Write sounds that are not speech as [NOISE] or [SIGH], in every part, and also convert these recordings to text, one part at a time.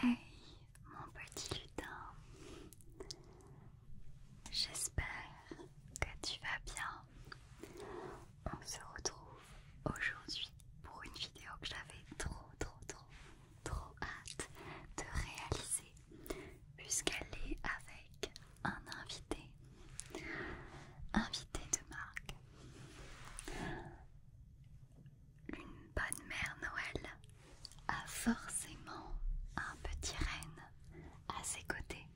Hey, mon petit lutin, j'espère que tu vas bien on se retrouve aujourd'hui pour une vidéo que j'avais trop trop trop trop hâte de réaliser puisqu'elle est avec un invité, invité de marque, une bonne mère Noël a forcément un petit renne à ses côtés.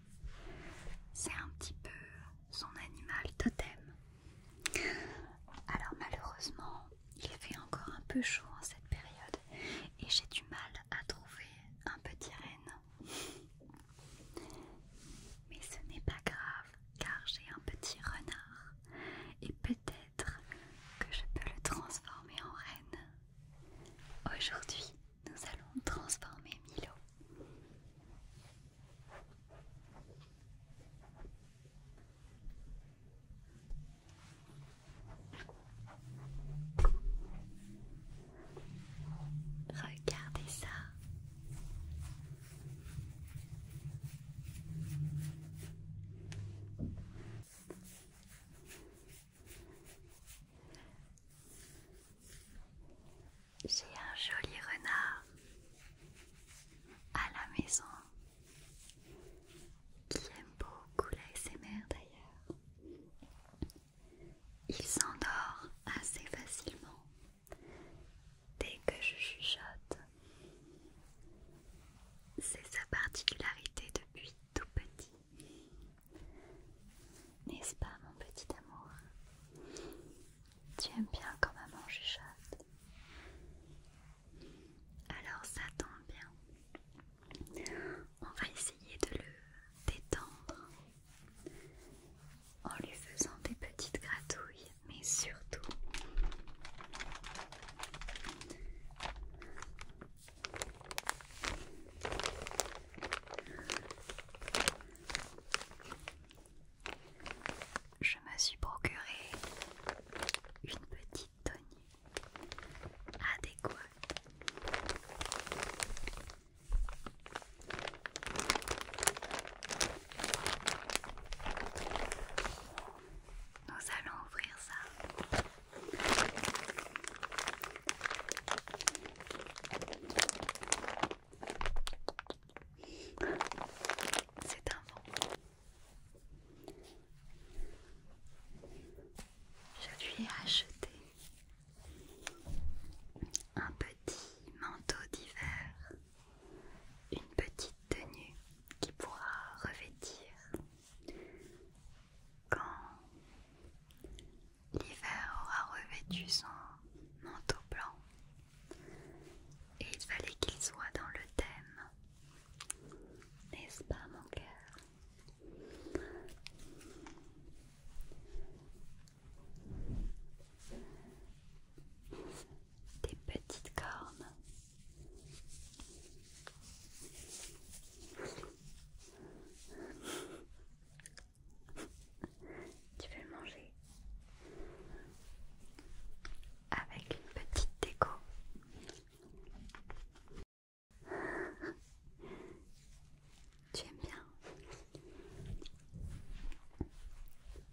C'est un petit peu son animal totem. Alors malheureusement, il fait encore un peu chaud en cette période et j'ai du mal à trouver un petit renne. Mais ce n'est pas grave car j'ai un petit renard et peut-être que je peux le transformer en reine. Aujourd'hui, nous allons transformer Milo. Regardez ça. J'ai un joli renard à la maison qui aime beaucoup l'ASMR d'ailleurs. Il s'endort assez facilement dès que je chuchote. C'est sa particularité depuis tout petit. N'est-ce pas mon petit amour tu aimes bien quand maman chat. Alors ça tombe bien. On va essayer de le détendre en lui faisant des petites gratouilles, mais surtout je me suis procuré une petite tonique adéquate. Ah, Nous allons ouvrir ça. C'est un vent. Je lui ai acheté un petit manteau d'hiver, une petite tenue qui pourra revêtir quand l'hiver aura revêtu son manteau blanc et il fallait qu'il soit dans le thème. N'est-ce pas mon cœur Des petites cornes. Tu veux le manger avec une petite déco. tu aimes bien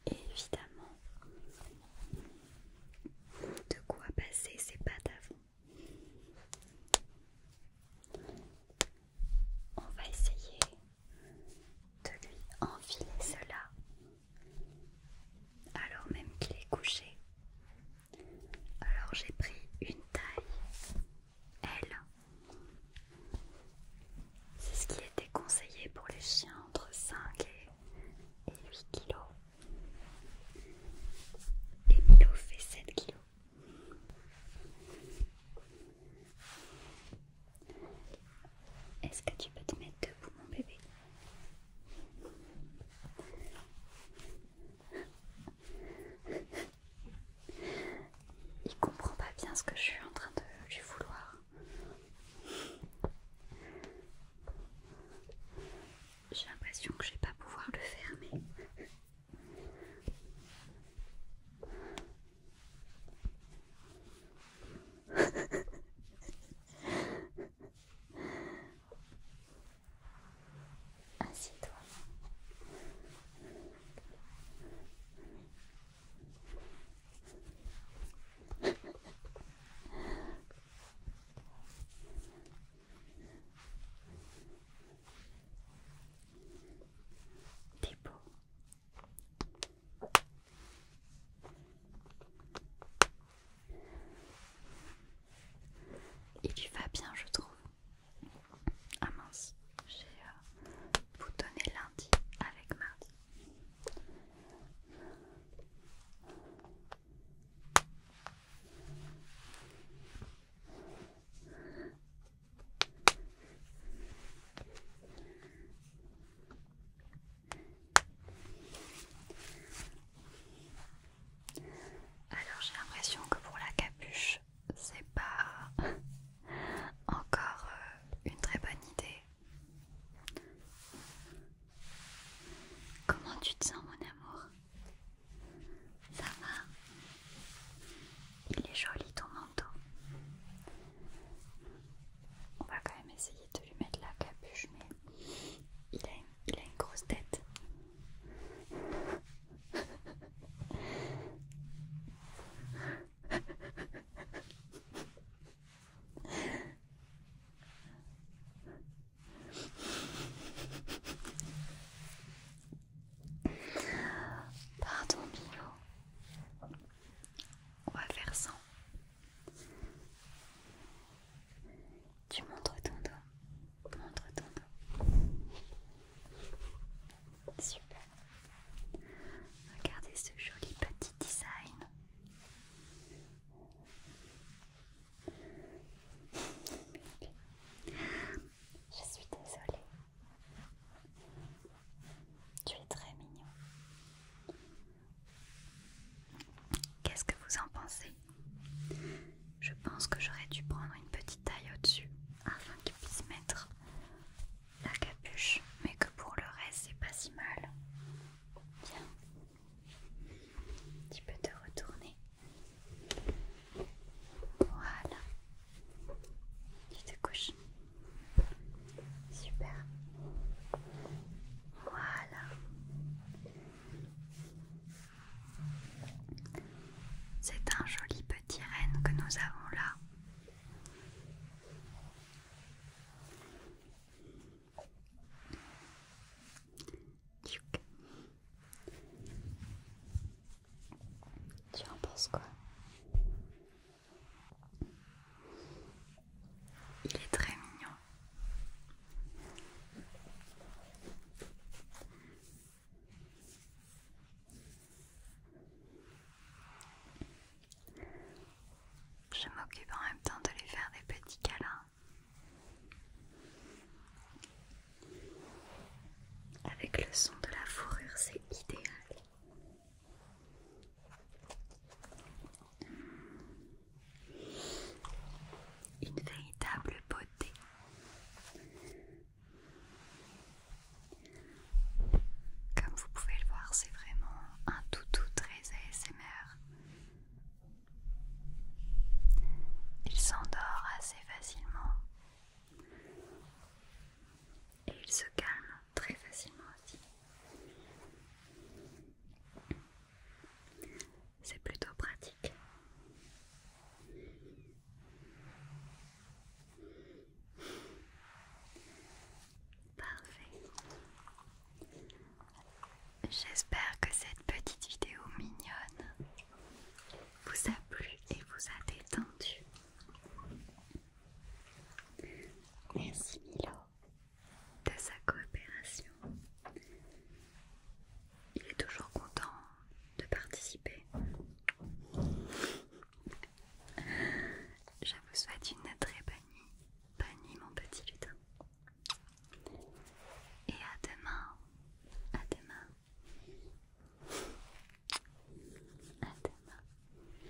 Évidemment, de quoi passer ces pas avant. On va essayer de lui enfiler cela alors même qu'il est couché. Alors j'ai pris une taille L. C'est ce qui était conseillé pour les chiens entre 5 et 8 kilos, Et Milo fait 7 kg. Est-ce que tu peux te mettre debout, mon bébé Il comprend pas bien ce que je suis en train de lui vouloir. J'ai l'impression que je vais pas pouvoir le fermer. [LAUGHS] Assieds-toi. T'es il tu va bien, je trouve. Ah mince, j'ai vous euh, boutonné lundi avec mardi. Alors j'ai l'impression que pour la capuche, c'est pas [LAUGHS] encore euh, une très bonne idée. Comment tu te sens mon amour Ça va Il est joli ton manteau. On va quand même essayer de lui mettre la capuche, mais il a une, il a une grosse tête. Pardon Milo, on va faire ça tu montres ton dos. Montre ton dos. Super. Regardez ce joli petit design. Je suis désolée. Tu es très mignon. Qu'est-ce que vous en pensez Je pense que j'aurais dû prendre une petite taille au-dessus afin qu'il puisse mettre la capuche, mais que pour le reste c'est pas si mal. Bien, tu peux te retourner. Voilà, tu te couches. Super. Voilà. C'est un joli petit renne que nous avons là. Tu en penses quoi il est très mignon. Je m'occupe en même temps de lui faire des petits câlins. Avec le son de la fourrure, c'est idéal. Une véritable beauté. Comme vous pouvez le voir, c'est vraiment un toutou très ASMR. Il s'endort assez facilement et il se calme très facilement aussi. C'est plutôt pratique. Parfait. J'espère que cette petite vidéo mignonne vous a plu et vous a détendu. Merci Milo de sa coopération. Il est toujours content de participer. Je vous souhaite une très bonne nuit. Bonne nuit mon petit lutin. Et à demain. À demain. À demain.